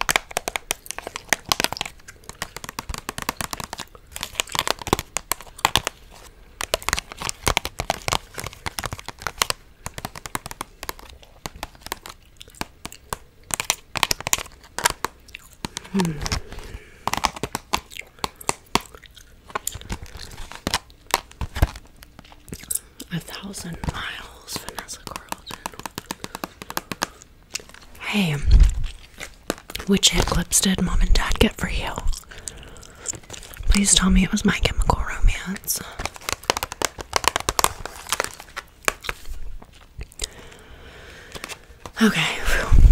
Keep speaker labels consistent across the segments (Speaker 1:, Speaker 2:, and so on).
Speaker 1: A thousand miles, from Vanessa Carlton. Hey, um, which hip clips did mom and dad get for you? Please tell me it was my chemical romance. Okay,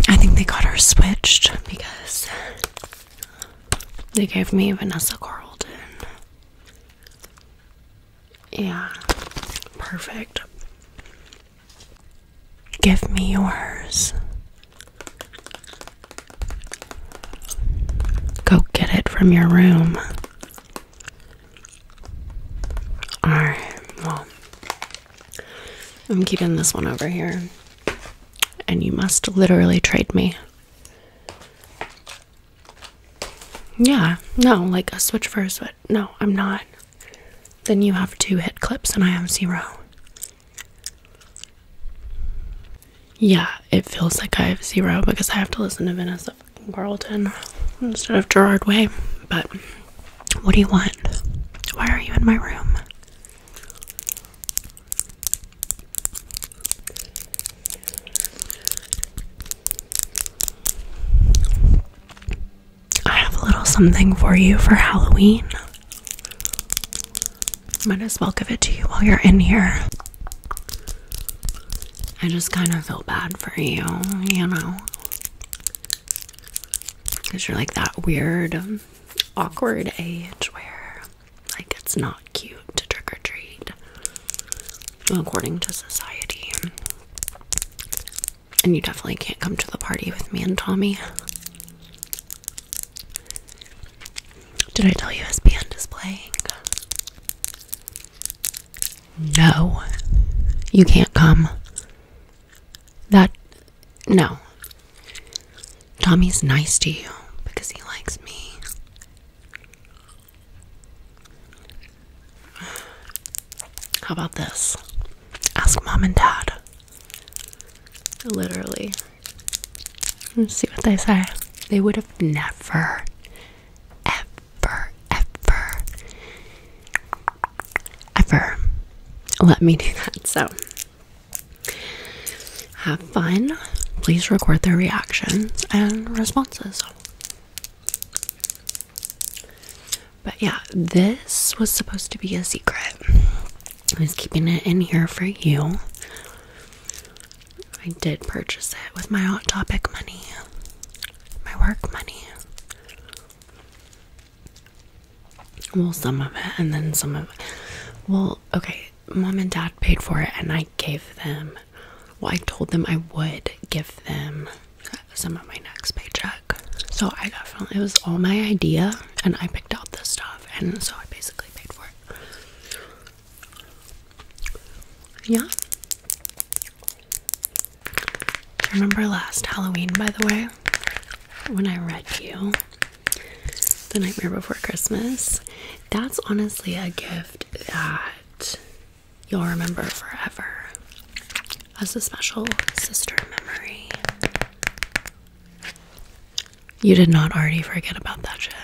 Speaker 1: I think they got her switched because they gave me Vanessa Carlton. Yeah. Perfect. Give me yours. Go get it from your room. Alright, well, I'm keeping this one over here. And you must literally trade me. Yeah, no, like a switch for a switch. No, I'm not. Then you have two hit clips and I have zero. Yeah, it feels like I have zero because I have to listen to Vanessa of Carlton instead of Gerard Way. But what do you want? Why are you in my room? I have a little something for you for Halloween. Might as well give it to you while you're in here. I just kind of feel bad for you, you know? Because you're like that weird, awkward age where, like, it's not cute to trick or treat according to society. And you definitely can't come to the party with me and Tommy. Did I tell you his band is playing? No, you can't come. That, no. Tommy's nice to you because he likes me. How about this? Ask mom and dad. Literally. let see what they say. They would have never, ever, ever, ever let me do that. So, have fun. Please record their reactions and responses. But yeah, this was supposed to be a secret. I was keeping it in here for you. I did purchase it with my Hot Topic money, my work money. Well, some of it, and then some of it. Well, okay, mom and dad paid for it, and I gave them well, I told them I would give them some of my next paycheck. So I definitely it was all my idea and I picked out the stuff and so I basically paid for it. Yeah. Remember last Halloween, by the way, when I read you The Nightmare Before Christmas? That's honestly a gift that you'll remember forever as a special sister memory. You did not already forget about that shit.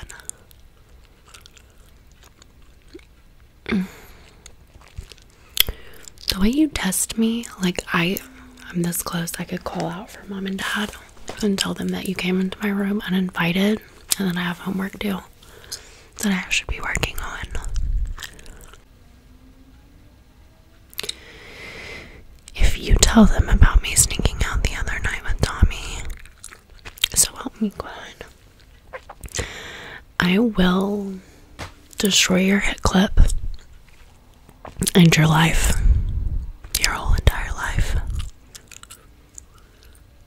Speaker 1: The way you test me, like I I'm this close I could call out for mom and dad and tell them that you came into my room uninvited and then I have homework due that I should be working on. If you tell them about me sneaking out the other night with Tommy, so help me God, I will destroy your hit clip and your life, your whole entire life.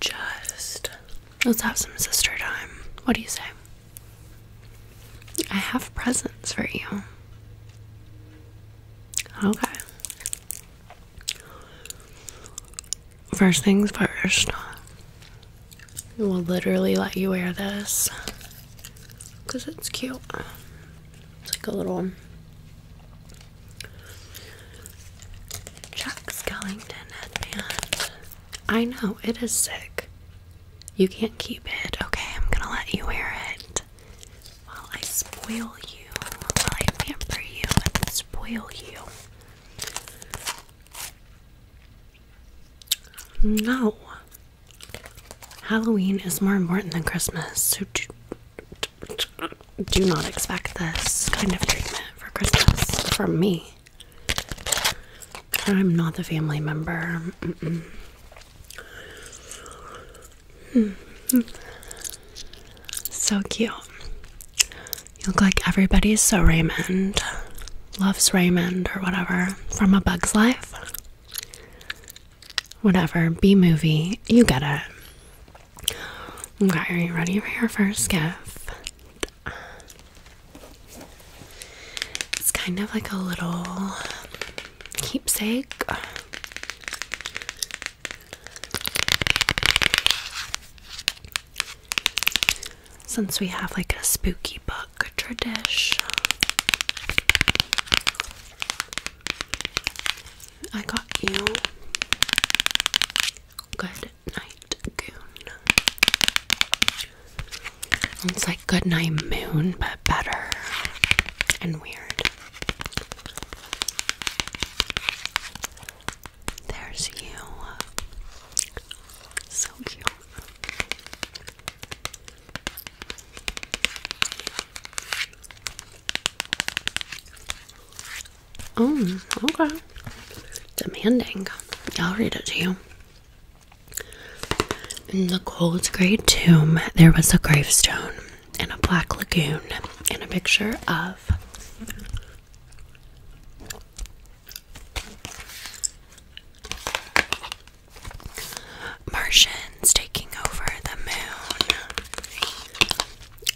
Speaker 1: just let's have some sister time. What do you say? I have presents for you. Okay. First things first, we'll literally let you wear this because it's cute. It's like a little Chuck Skellington headband. I know, it is sick. You can't keep it. Okay, I'm gonna let you wear it. While I spoil you, while I pamper you and spoil you. No. Halloween is more important than Christmas, so do not expect this kind of treatment for Christmas from me. I'm not the family member. Hmm. So cute. You look like everybody's so Raymond. Loves Raymond or whatever. From A Bug's Life. Whatever. B movie. You get it. Okay, are you ready for your first gift? It's kind of like a little keepsake. Since we have like a spooky book tradition, I got you Good night, goon. It's like good night moon, but better and weird. There's you. So cute. Oh, okay. Demanding. I'll read it to you. In the cold gray tomb, there was a gravestone and a black lagoon and a picture of Martians taking over the moon.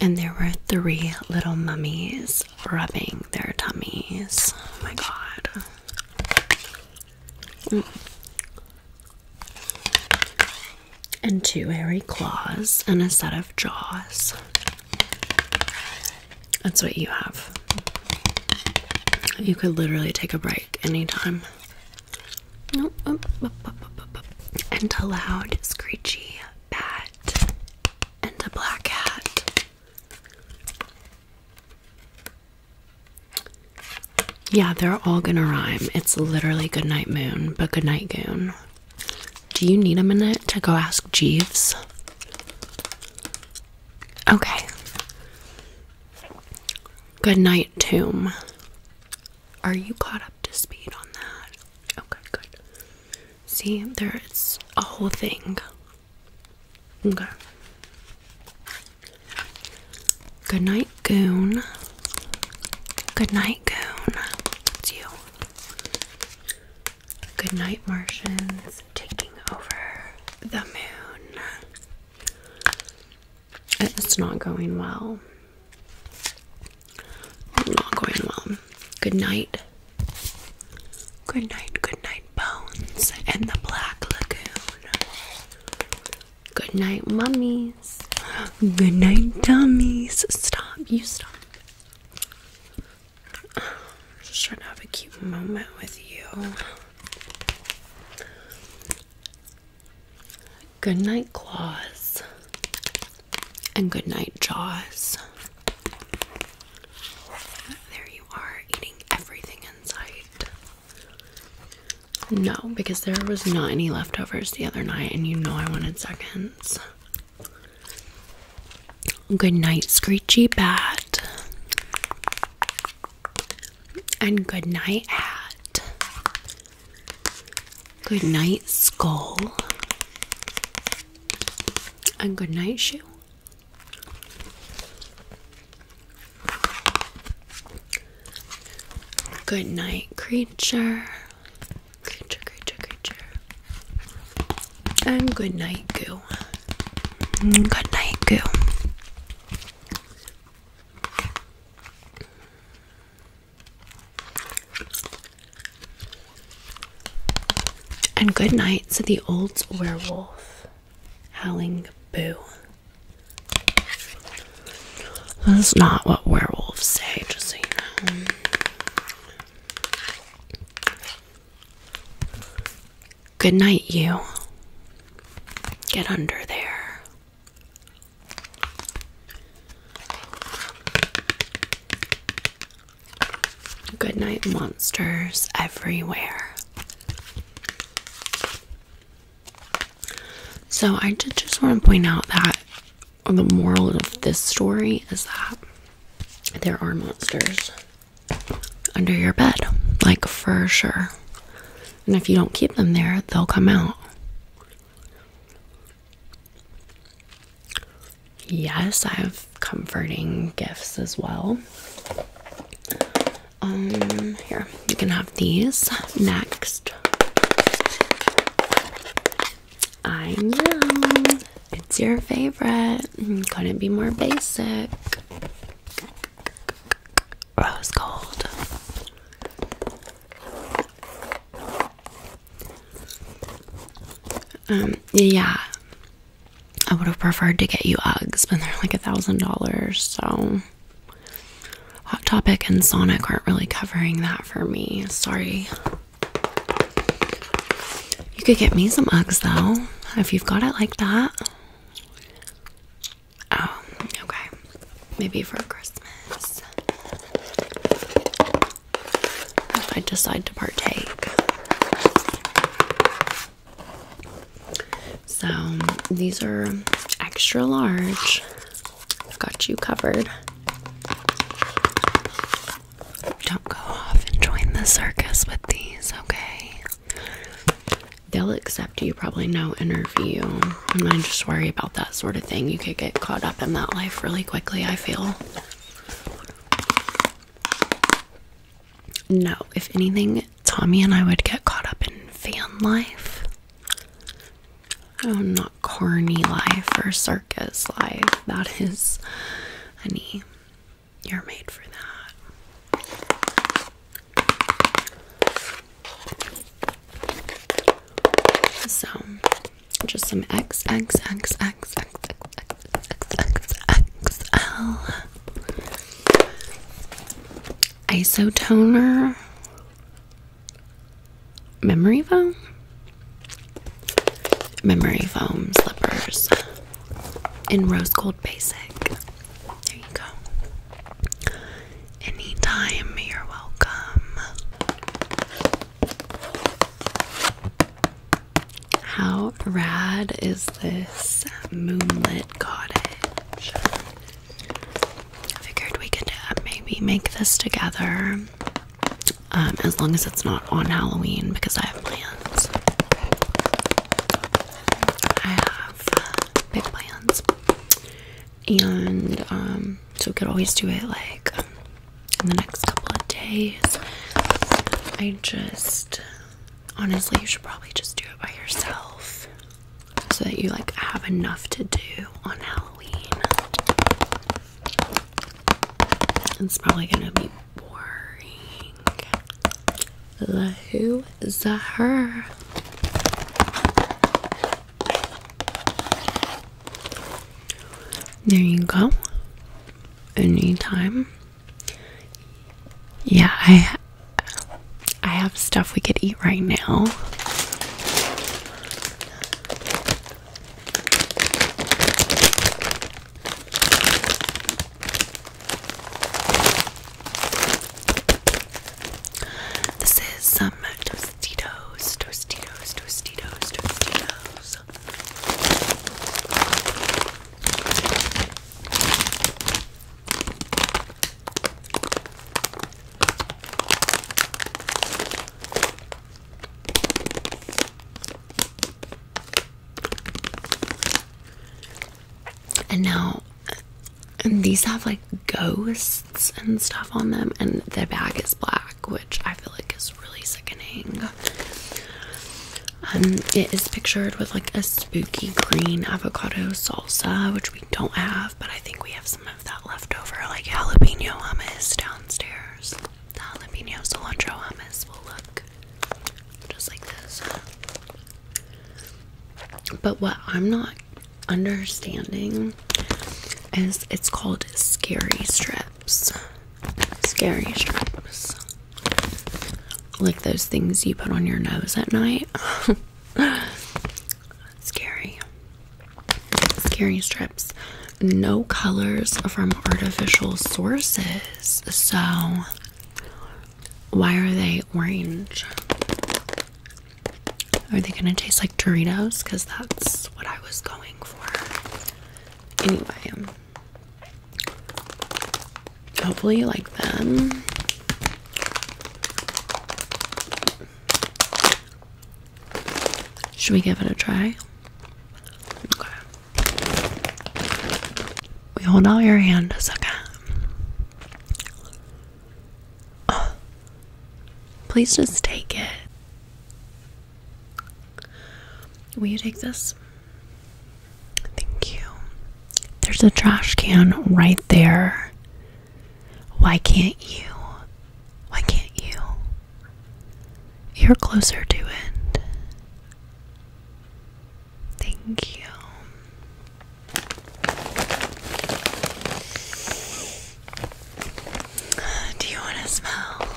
Speaker 1: And there were three little mummies rubbing their tummies. Oh my god. Mm. And two hairy claws and a set of jaws. That's what you have. You could literally take a break anytime. And a loud, screechy bat and a black hat. Yeah, they're all gonna rhyme. It's literally Goodnight Moon, but Goodnight Goon. Do you need a minute to go ask Jeeves? Okay. Goodnight Tomb. Are you caught up to speed on that? Okay, good. See, there it's a whole thing. Okay. Good night, Goon. Good night, Goon. It's you. Good night, Martians taking over the moon. It's not going well. Not going well. Good night. Good night, good night, Bones and the Black Lagoon. Good night, mummies. Good night, dummies. Stop, you stop. I'm just trying to have a cute moment with you. Good night, Claws, and good night, Jaws. There you are, eating everything in sight. No, because there was not any leftovers the other night, and you know I wanted seconds. Good night, Screechy Bat. And good night, Hat. Good night, skull. And good night, shoe. Good night, creature. Creature, creature, creature. And good night, goo. Good night, goo. And good night to the old werewolf, howling boo. That's not what werewolves say, just so you know. Good night, you. Get under there. Good night, monsters everywhere. So, I just want to point out that the moral of this story is that there are monsters under your bed, like for sure. And if you don't keep them there, they'll come out. Yes, I have comforting gifts as well. Um, here, you can have these next. I know it's your favorite. Couldn't be more basic. Rose gold. Um, yeah, I would have preferred to get you Uggs, but they're like a thousand dollars, so Hot Topic and Sonic aren't really covering that for me. Sorry. You could get me some Uggs though, if you've got it like that. Oh, okay. Maybe for Christmas. I decide to partake. So these are extra large. I've got you covered. Don't go off and join the circus with these, okay? They'll accept you probably no interview. And I just worry about that sort of thing. You could get caught up in that life really quickly, I feel. No, if anything, Tommy and I would get caught up in fan life. Oh, not corny life or circus life. That is, honey, you're made for that. So, just some X X X X X X X X L Isotoner Memory foam? Memory foam slippers in rose gold basic. There you go. Anytime, you're welcome. How rad is this moonlit cottage? I figured we could uh, maybe make this together. Um, as long as it's not on Halloween, because I have plans. I have uh, big plans, and um, so we could always do it like in the next couple of days. I just honestly, you should probably just do it by yourself so that you like have enough to do on Halloween. It's probably gonna be boring. The who, there you go. Anytime. Yeah, I I have stuff we could eat right now. This is some Tostitos, Tostitos, Tostitos, Tostitos. And now and these have like ghosts and stuff on them and the bag is black which I feel like is really sickening. Um, it is pictured with like a spooky green avocado salsa, which we don't have, but I think we have some of that left over, like jalapeno hummus downstairs. The jalapeno cilantro hummus will look just like this. But what I'm not understanding them it's called scary strips scary strips like those things you put on your nose at night scary scary strips no colors from artificial sources so why are they orange are they gonna taste like doritos because that's what i was going Anyway, um, hopefully you like them. Should we give it a try? We hold out your hand a second. Please just take it. Will you take this? Thank you. There's a trash can right there. Why can't you? Why can't you? You're closer to it. Thank you. Do you want to smell?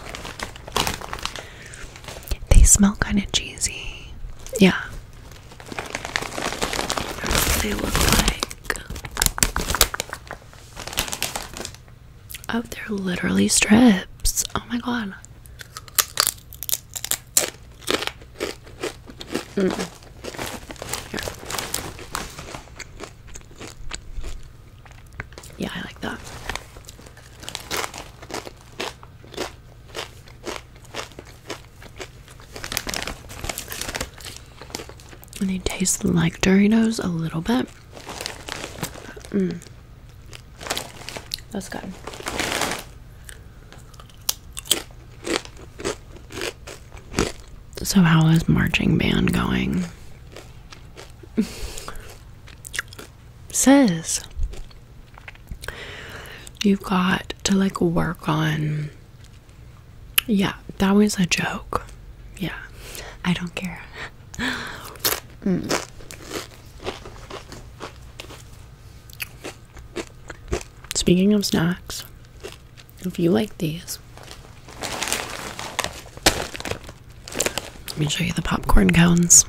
Speaker 1: They smell kind of cheesy. Yeah. they look like. Oh, there, literally strips. Oh my god yeah, I like that. And they taste like Doritos a little bit. Mm. That's good. So, how is marching band going? says you've got to like work on yeah that was a joke yeah i don't care hmm. speaking of snacks if you like these let me show you the popcorn cones.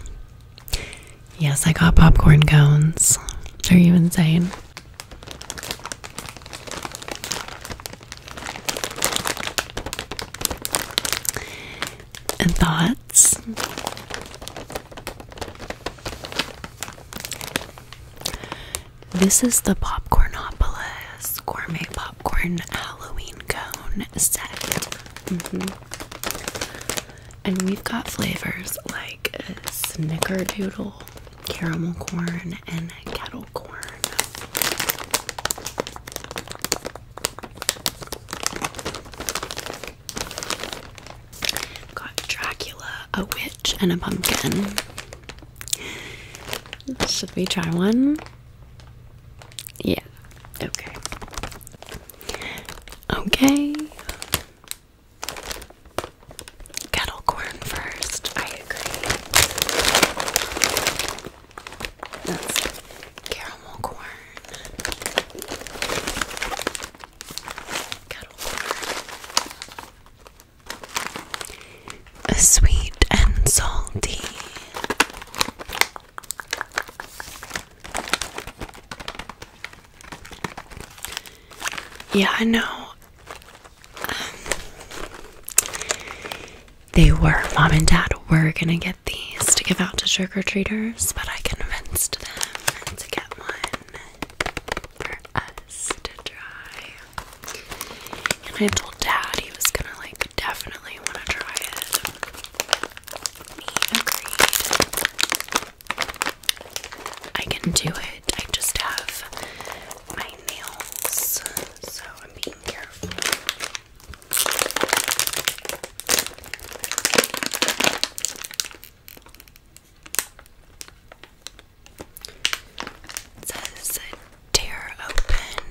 Speaker 1: Yes, I got popcorn cones. Are you insane? thoughts? This is the popcornopolis gourmet pop Corn Halloween cone set. Mm-hmm. And we've got flavors like snickerdoodle, caramel corn, and kettle corn. Got Dracula, a witch, and a pumpkin. Should we try one? Yeah. Okay. Okay. Kettle corn first. I agree. That's caramel corn. Kettle corn sweet and salty. Yeah, I know. Um, they were, mom and dad were gonna get these to give out to trick or treaters, but I convinced them to get one for us to try. And I told dad he was gonna like definitely wanna try it. he agreed. I can do it. I just have my nails, so I'm being careful. It tear open.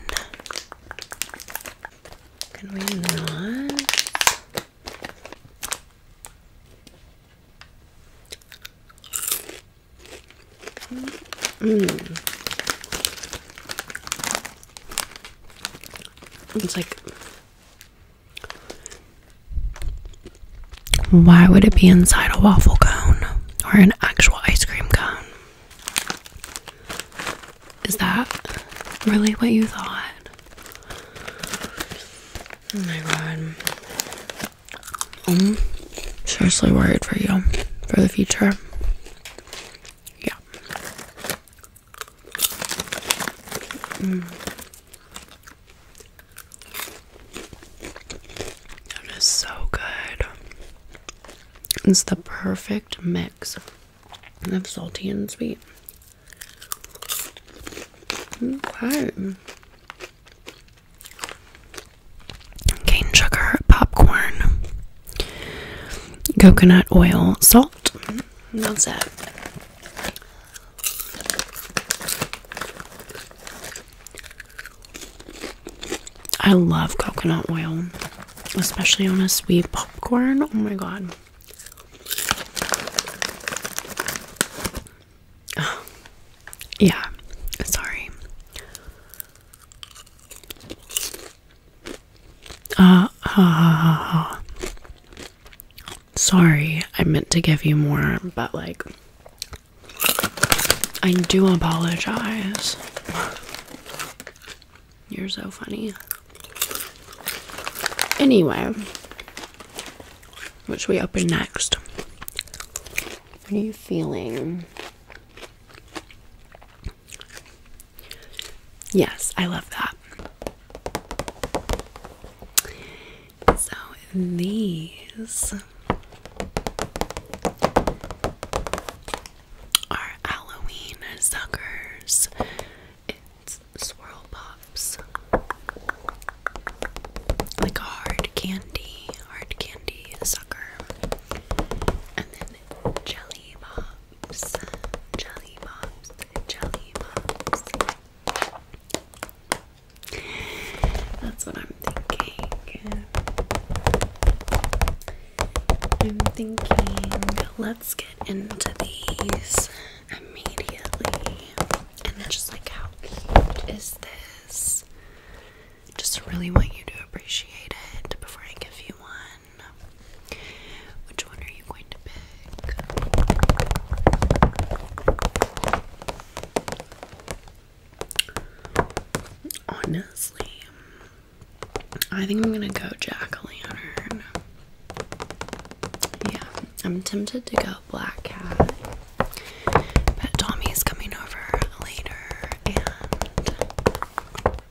Speaker 1: Can we not? Mm. It's like, why would it be inside a waffle cone or an actual ice cream cone? Is that really what you thought? Oh my god. I'm um, seriously worried for you for the future. Yeah. Mm. That is so good. It's the perfect mix of salty and sweet. Okay. Cane sugar, popcorn, coconut oil, salt. That's it. I love coconut oil, especially on a sweet popcorn. Oh my god. yeah, sorry. Uh, uh, sorry, I meant to give you more, but like, I do apologize. You're so funny. Anyway, which we open next. What are you feeling? Yes, I love that. So these are Halloween suckers. It's swirl pops. Like a hard candy, hard candy sucker. And then jelly pops. Jelly pops. Jelly pops. That's what I'm thinking. I'm thinking let's get into these immediately. And just like, how cute is this? Just really want you to appreciate it before I give you one. Which one are you going to pick? Honestly, I think I'm gonna go jack o' lantern. Yeah, I'm tempted to go black cat, but Tommy's coming over later, and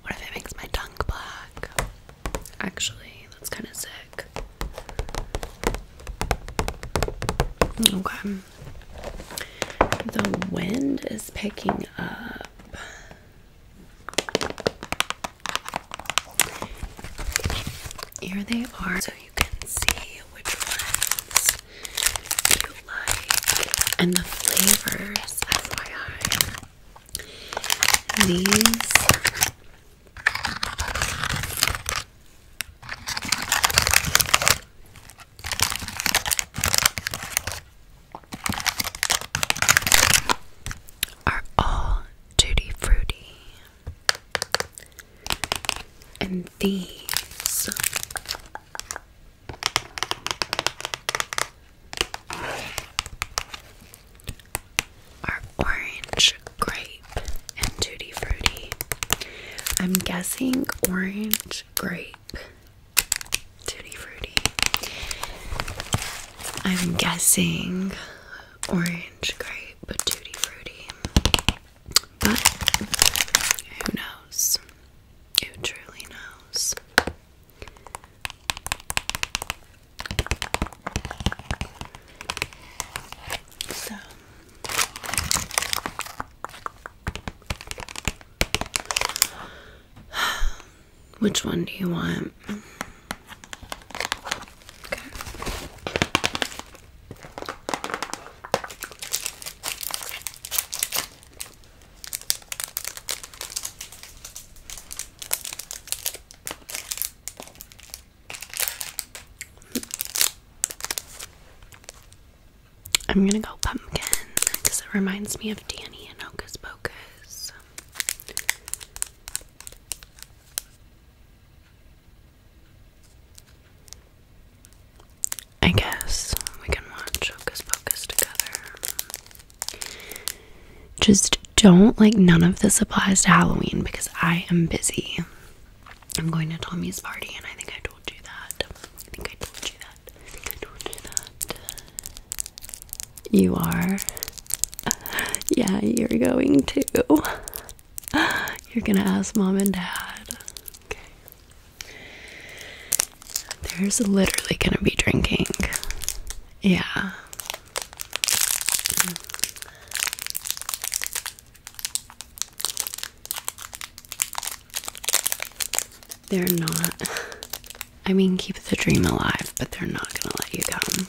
Speaker 1: what if it makes my tongue black? Actually, that's kind of sick. Okay, the wind is picking up. Here they are, so you can see which ones you like and the flavors. FYI, these are all tutti frutti, and these are orange, grape, and tutti frutti. I'm guessing orange, grape, Tutti Frutti. I'm guessing orange grape but Tutti Frutti. But who knows? Who truly knows? So which one do you want? Okay. I'm gonna go pumpkin because it reminds me of Danny and Oka's Pocus. I guess we can watch Hocus Pocus together. Just don't like none of this applies to Halloween because I am busy. I'm going to Tommy's party and I think I told you that. I think I told you you are. Yeah, you're going to. You're gonna ask mom and dad. There's literally gonna be drinking. Yeah. They're not. I mean, keep the dream alive, but they're not going to let you come.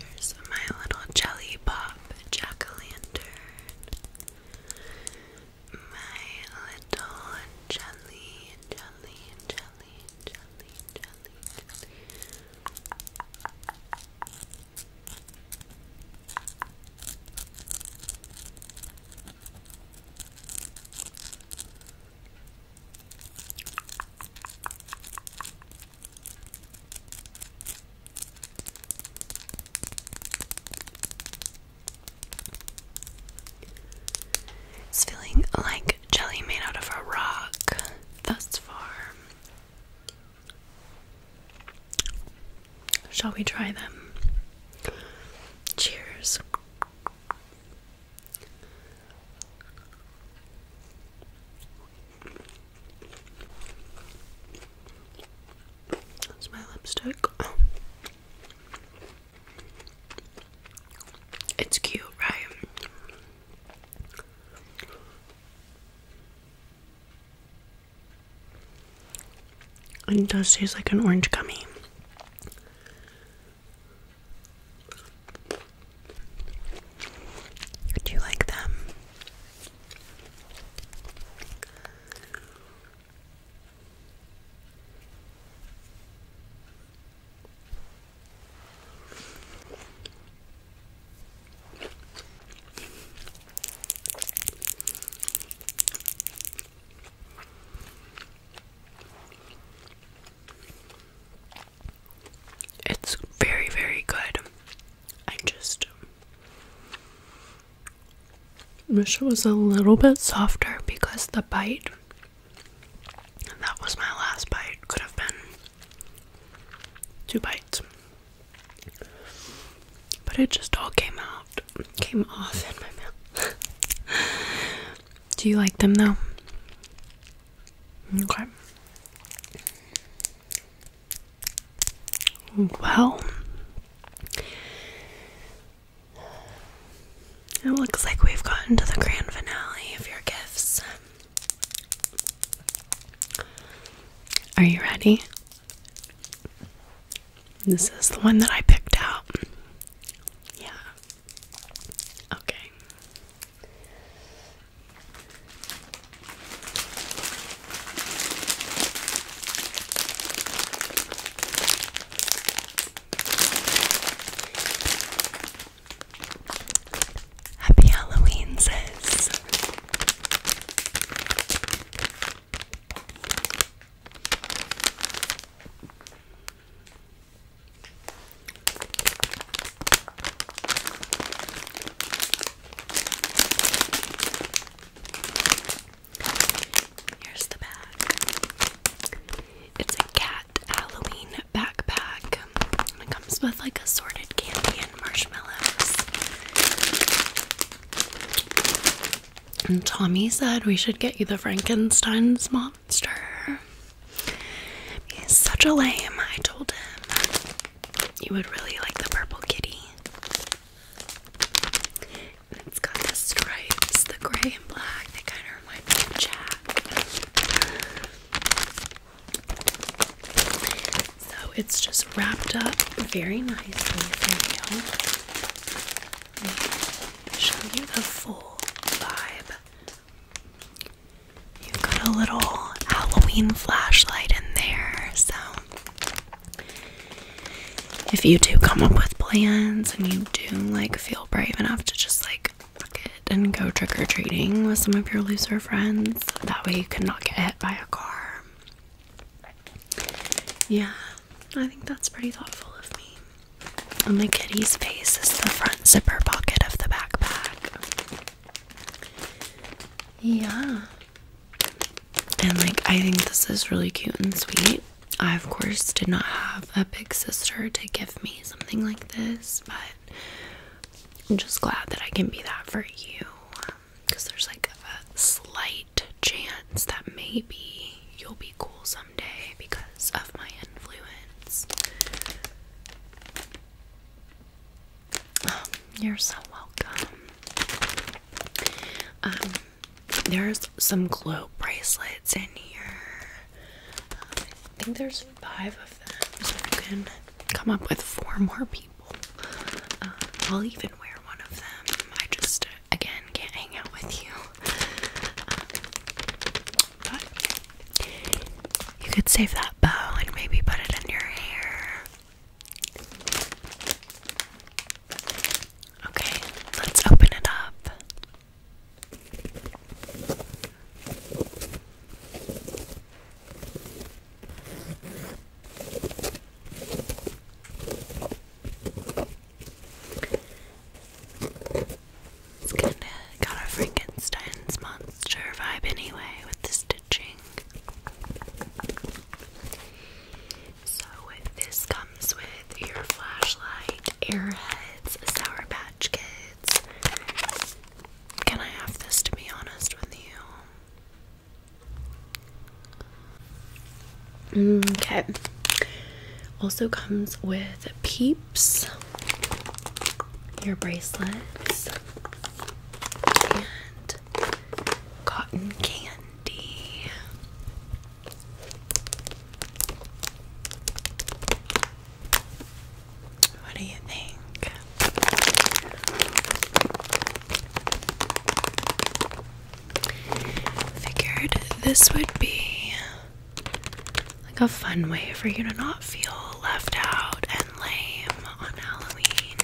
Speaker 1: There's my little jelly pop jack My little jelly, jelly, jelly, jelly, jelly. It's feeling like jelly made out of a rock thus far. Shall we try them? Cheers. That's my lipstick. It's cute, right? And it does taste like an orange gummy. Do you like them? It's very, very good. I just wish it was a little bit softer because the bite that was my last bite could have been two bites but it just all came out, came off in my mouth. Do you like them though? Okay. Well, it looks like we've gotten to the grand finale of your gifts. Are you ready? This is the one that I picked out. Yeah. Okay. Happy Halloween, sis. Here's the bag. It's a cat Halloween backpack. Um, it comes with like assorted candy and marshmallows. And Tommy said we should get you the Frankenstein's monster. He's such a lame. I told him you would really like the purple kitty. it's got the stripes, the gray and black. They kind of remind me of Jack. So it's just wrapped up very nicely Let me show you the full vibe. you got a little Halloween flashlight in there, so if you do come up with plans and you do like feel brave enough to just like fuck it and go trick or treating with some of your looser friends, fence. That way you cannot get hit by a car. Yeah, I think that's pretty thoughtful of me. On my kitty's face is the front zipper pocket of the backpack. Yeah. And like, I think this is really cute and sweet. I, of course, did not have a big sister to give me something like this, but I'm just glad that I can be that for you because um, there's like a slight chance that maybe you'll be cool someday because of my influence. Um, you're so welcome. Um, there's some glow bracelets in here. Um, I think there's five of them, so you can come up with four more people. Uh, I'll even wear one of them. I just, again, can't hang out with you. Uh, you could save that bow and maybe put it in your hair. Okay, let's open it up. It's kinda got a Frankenstein's monster vibe anyway with the stitching. So this comes with your flashlight, airheads, sour patch kids. Can I have this to be honest with you? Okay. Also comes with peeps, your bracelets, and cotton candy. What do you think? Figured this would be like a fun way for you to not feel left out and lame on Halloween.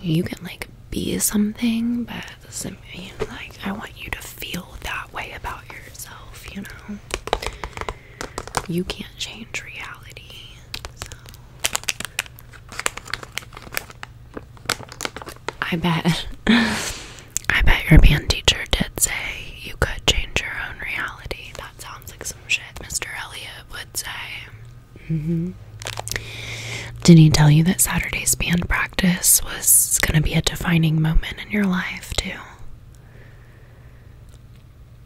Speaker 1: You can like be something, but it doesn't mean like I want you to feel that way about yourself, you know? you can't change reality. I bet. I bet your band teacher did say you could change your own reality. That sounds like some shit Mr. Elliot would say. Mm-hmm. Did he tell you that Saturday's band practice was going to be a defining moment in your life, too?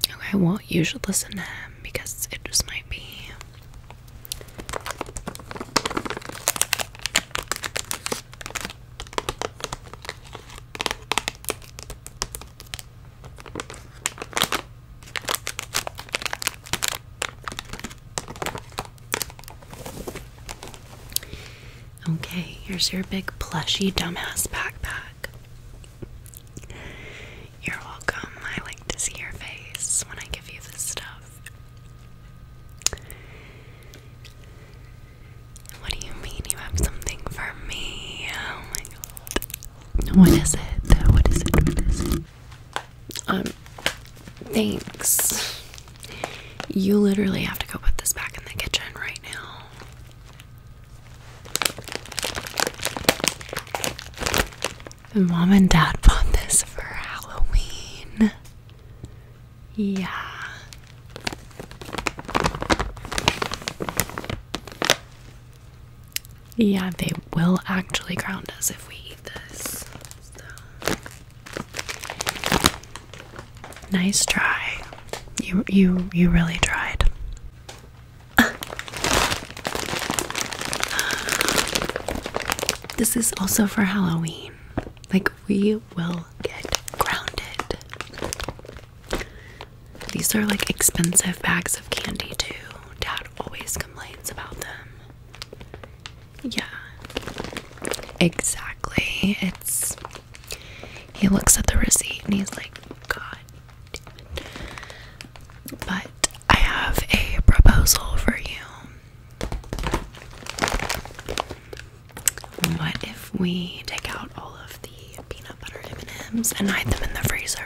Speaker 1: Okay, well, you should listen to him because it just might be. Okay, here's your big plushy dumbass backpack. You're welcome. I like to see your face when I give you this stuff. What do you mean you have something for me? Oh my god. What is it? What is it? Um, thanks. You literally have to go put this back in the kitchen right now mom and dad bought this for Halloween. Yeah. Yeah, they will actually ground us if we eat this. Nice try. You you you really tried. this is also for Halloween. Like, we will get grounded. These are like expensive bags of candy, too. Dad always complains about them. Yeah. Exactly. It's. He looks at the receipt and he's like, God but I have a proposal for you. What if we take out all of the peanut butter M&Ms and hide them in the freezer?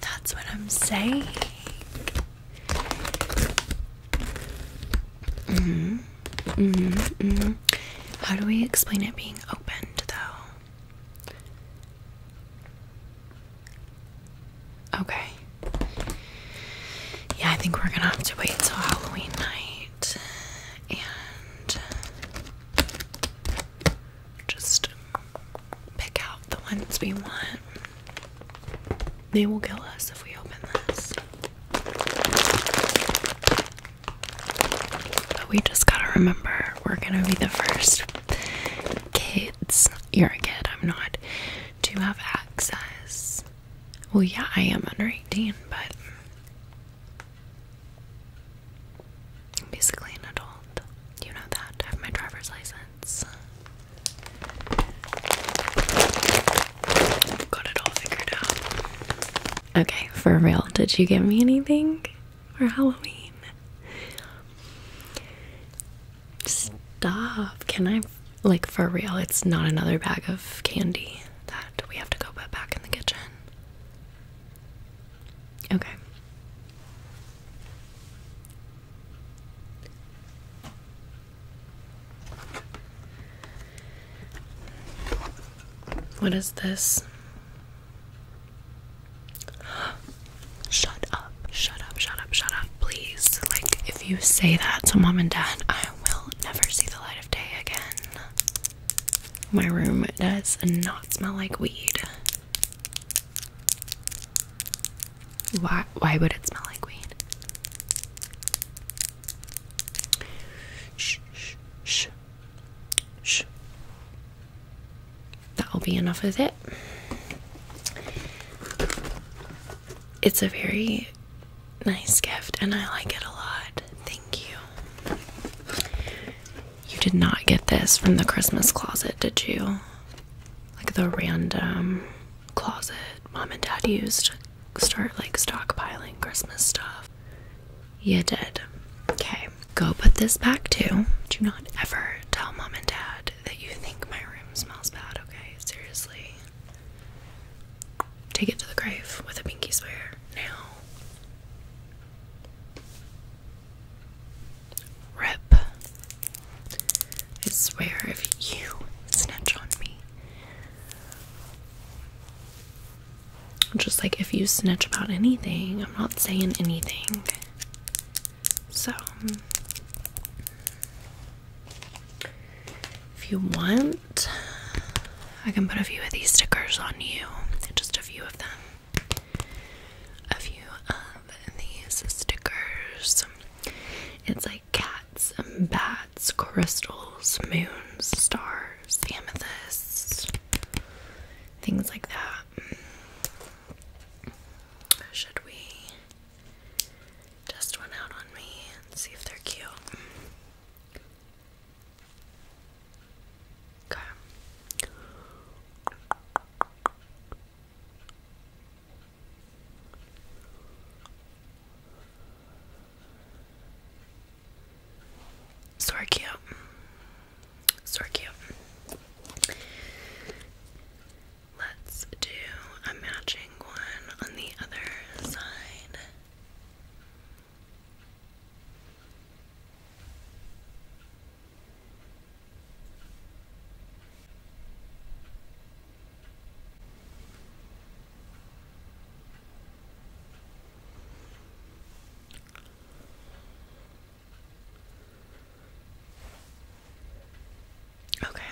Speaker 1: That's what I'm saying hmm hmm hmm How do we explain it being opened though? Okay. Yeah, I think we're gonna have to wait till Halloween night and just pick out the ones we want. They will kill us if we open this. But we just gotta remember we're gonna be the first kids. You're a kid, I'm not. To have access. Well, yeah, I am under 18, but. I'm basically an adult. You know that. have my driver's license. Got it all figured out. Okay, for real, did you get me anything for Halloween? Stop. Can I, like, for real, it's not another bag of candy that we have to go put back in the kitchen. Okay. What is this? Shut up, shut up, shut up, shut up, please. Like, if you say that to mom and dad, I will never see the light of day again. My room does not smell like weed. Why why would it smell like weed? Shh shh shh shh. That'll be enough of it. It's a very nice gift and I like it a lot. Thank you. You did not get this from the Christmas closet, did you? Like the random closet mom and dad used to start like stockpiling Christmas stuff. You did. Okay, go put this back too. Do not ever tell mom and dad that you think my room smells bad, okay? Seriously. Take it to the grave with a pinky swear now. Rip. I swear if you snitch on me. Just like if you snitch about anything, I'm not saying anything. So, if you want, I can put a few of these stickers on you. Just a few of them. A few of these stickers. It's like cats, bats, crystals, moons, stars, amethysts, things like that. Mm. Should we test one out on me and see if they're cute? Okay. Sorry, cute. Sorry, cute. Let's do a matching one on the other side. Okay.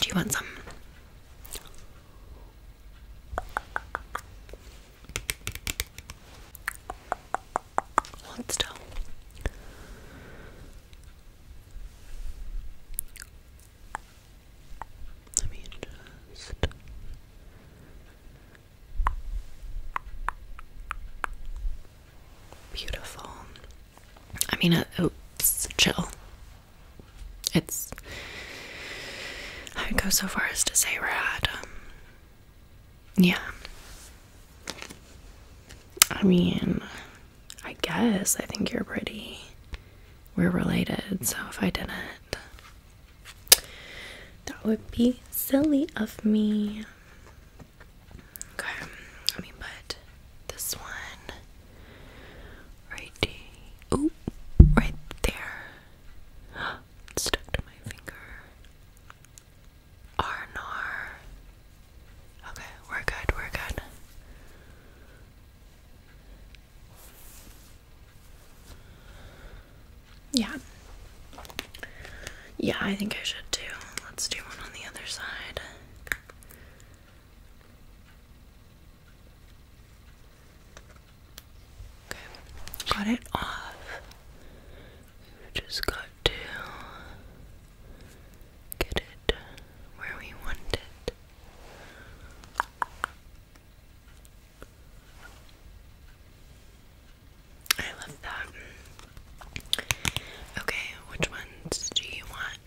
Speaker 1: Do you want some? Hold still. Let me just beautiful. I mean, uh, oh, chill. It's I would go so far as to say rad. Um, yeah. I mean, I guess I think you're pretty. We're related, so if I didn't, that would be silly of me. Okay, let me put this one right. Oh, Stuck to my finger. Arnor. Okay, we're good, we're good. Yeah. Yeah, I think I should too. Let's do one on the other side. Okay, got it off. Just got to get it where we want it. I love that. Okay, which ones do you want?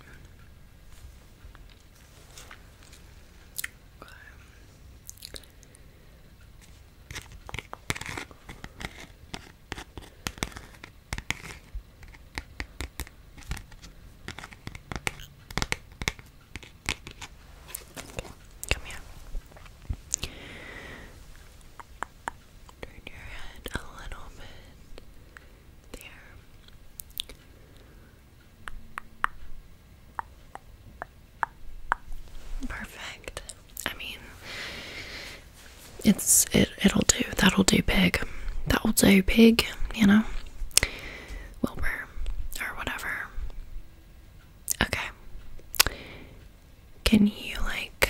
Speaker 1: come here. Turn your head a little bit there. Perfect. I mean, it's it it'll do that'll do pig that'll do pig you know wilbur or whatever okay can you like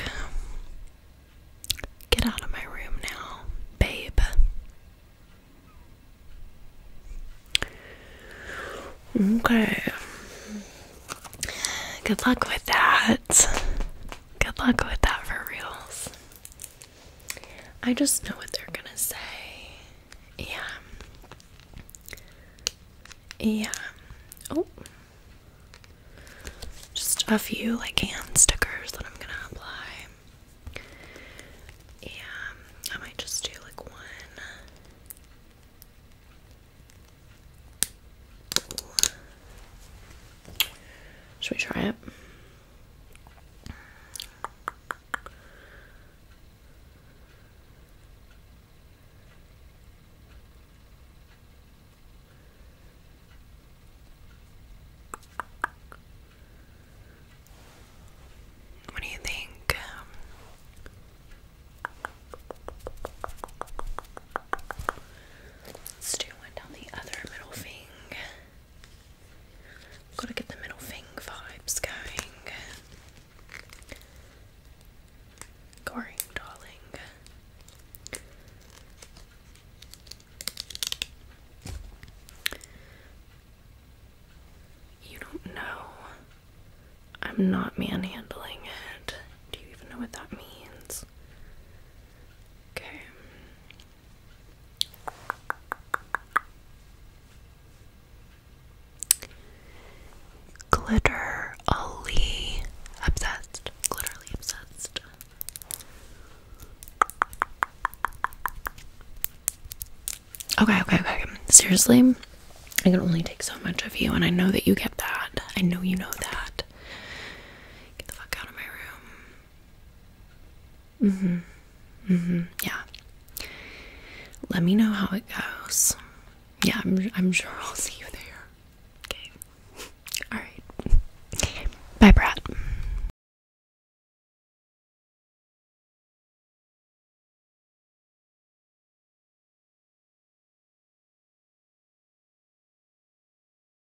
Speaker 1: get out of my room now babe okay good luck with that good luck with that for reals I just know what they're gonna say. Yeah. Yeah. Oh. Just a few like hand stickers that I'm gonna apply. Yeah. I might just do like one. Should we try it? What do you think? Let's do one down the other middle finger. Gotta get the middle thing vibes going. darling. You don't know. I'm not manhandling it. Do you even know what that means? Okay. Glitterly obsessed. Glitterly obsessed. Okay, okay, okay. Seriously, I can only take so much of you, and I know that you get that. I know you know that. Get the fuck out of my room. Mm-hmm. Mm-hmm. Yeah. Let me know how it goes. Yeah, I'm I'm sure I'll see you there. Okay. All right. Bye, Brad.